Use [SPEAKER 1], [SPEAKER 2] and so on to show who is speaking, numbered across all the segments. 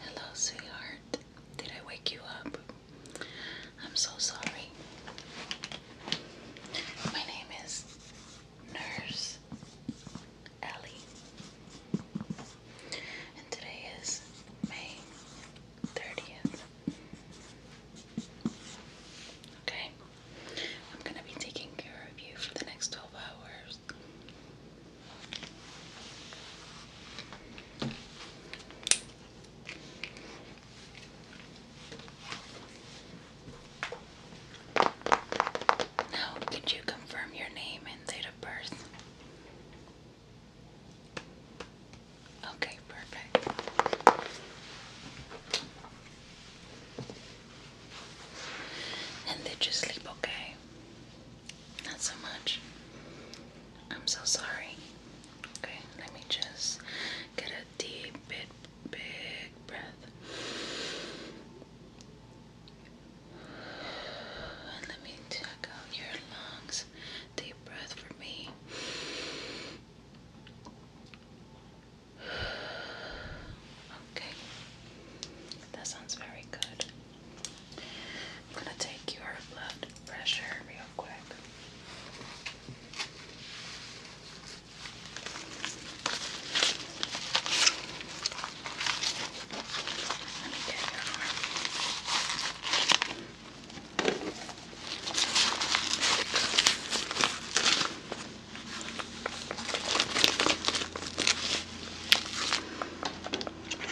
[SPEAKER 1] Hello, sweetheart. Did I wake you up? I'm so sorry. My name is Nurse Ellie, and today is May 30th. Okay, I'm gonna be taking care of you for the next 12 hours. Now, could you confirm your name and date of birth? Okay, perfect. And did you sleep okay? Not so much. I'm so sorry. Okay, let me just get a deep, big, big breath. And let me check out your lungs. Deep breath for me. Okay, that sounds very good. I'm gonna take your blood pressure real quick. Let me get your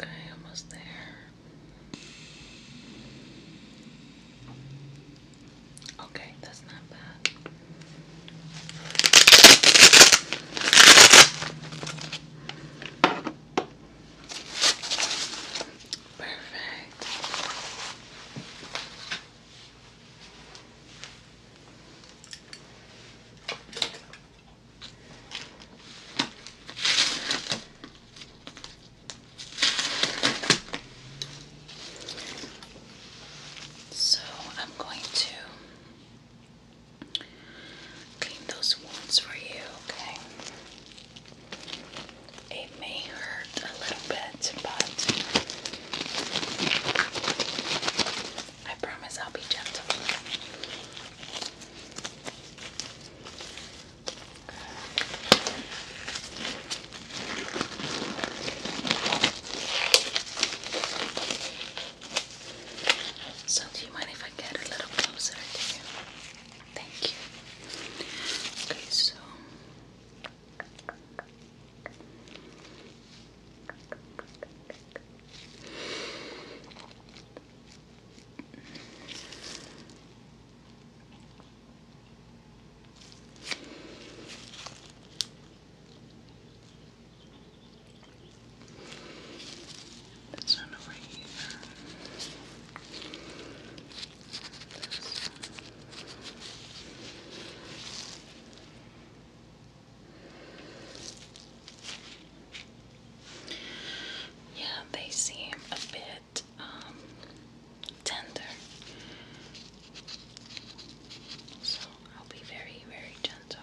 [SPEAKER 1] Okay, almost there. Okay, that's not bad. Perfect. So I'm going to clean those wounds for you, okay? It may hurt a little bit, but I promise I'll be gentle. So, do you mind if I get a little closer to you? Thank you. Okay, so. This one over here. Yeah, they seem a bit um, tender. So I'll be very, very gentle.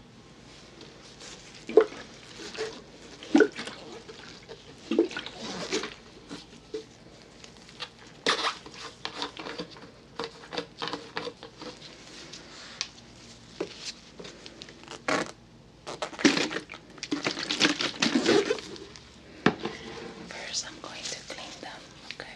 [SPEAKER 1] First, I'm going to clean them, okay?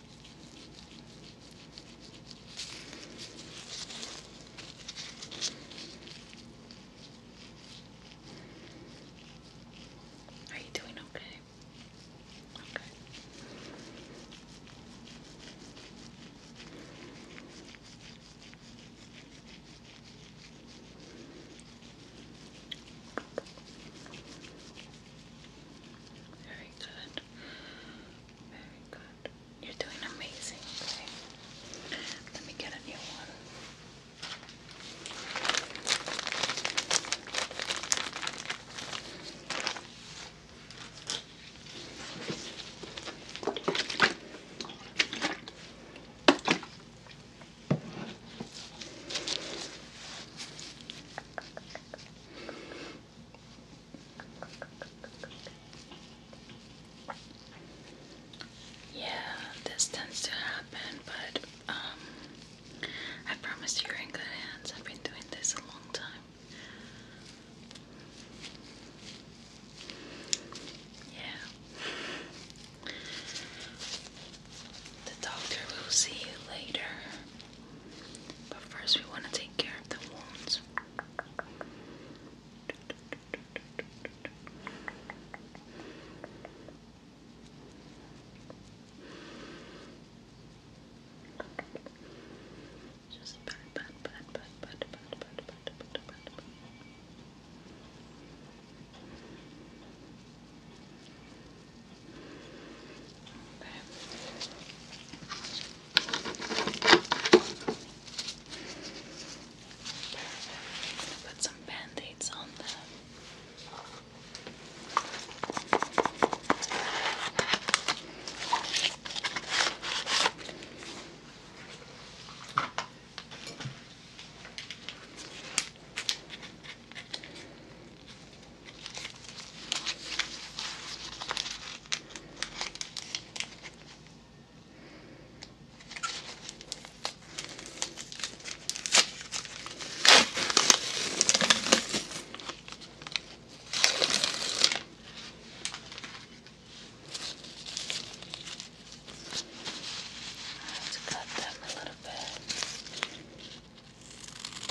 [SPEAKER 1] Are you doing okay? Okay. Very good. Very good. You're doing amazing, Let me get a new one. Yeah, this tends to happen, but um, I promise you're in good hands. I've been doing this a long time. Yeah. The doctor will see you later. But first, we want to take care of the wounds. Just pat, pat, pat, pat, pat, pat, pat, pat, pat, pat, pat. Put some band-aids on them. I have to cut them a little bit.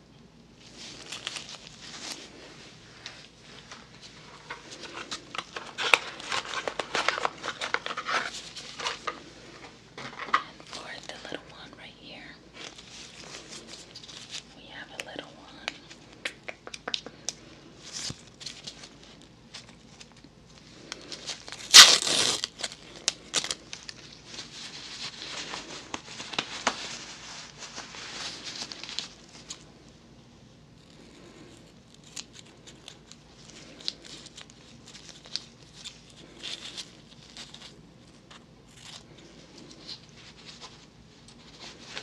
[SPEAKER 1] And for the little one right here, we have a little one.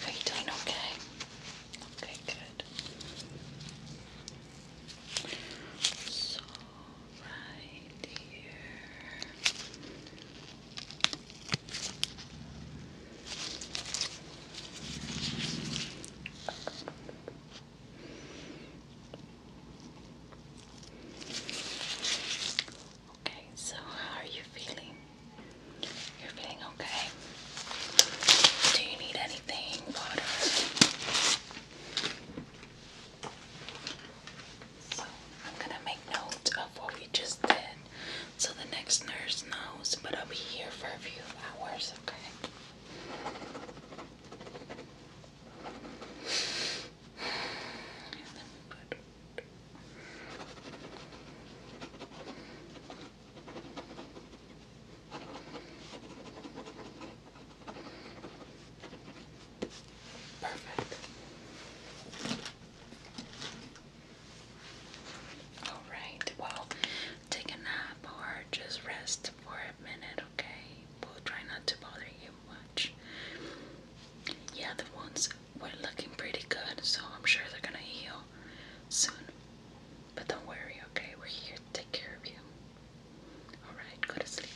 [SPEAKER 1] Are you doing okay? Okay, good. So right here. Okay, so how are you feeling? You're feeling okay? Do you need anything? Water? So I'm gonna make notes of what we just did so the next nurse knows, but I'll be here for a few hours, okay? Perfect. Alright, well, take a nap or just rest for a minute, okay? We'll try not to bother you much. Yeah, the wounds were looking pretty good, so I'm sure they're gonna heal soon. But don't worry, okay? We're here take care of you. Alright, go to sleep.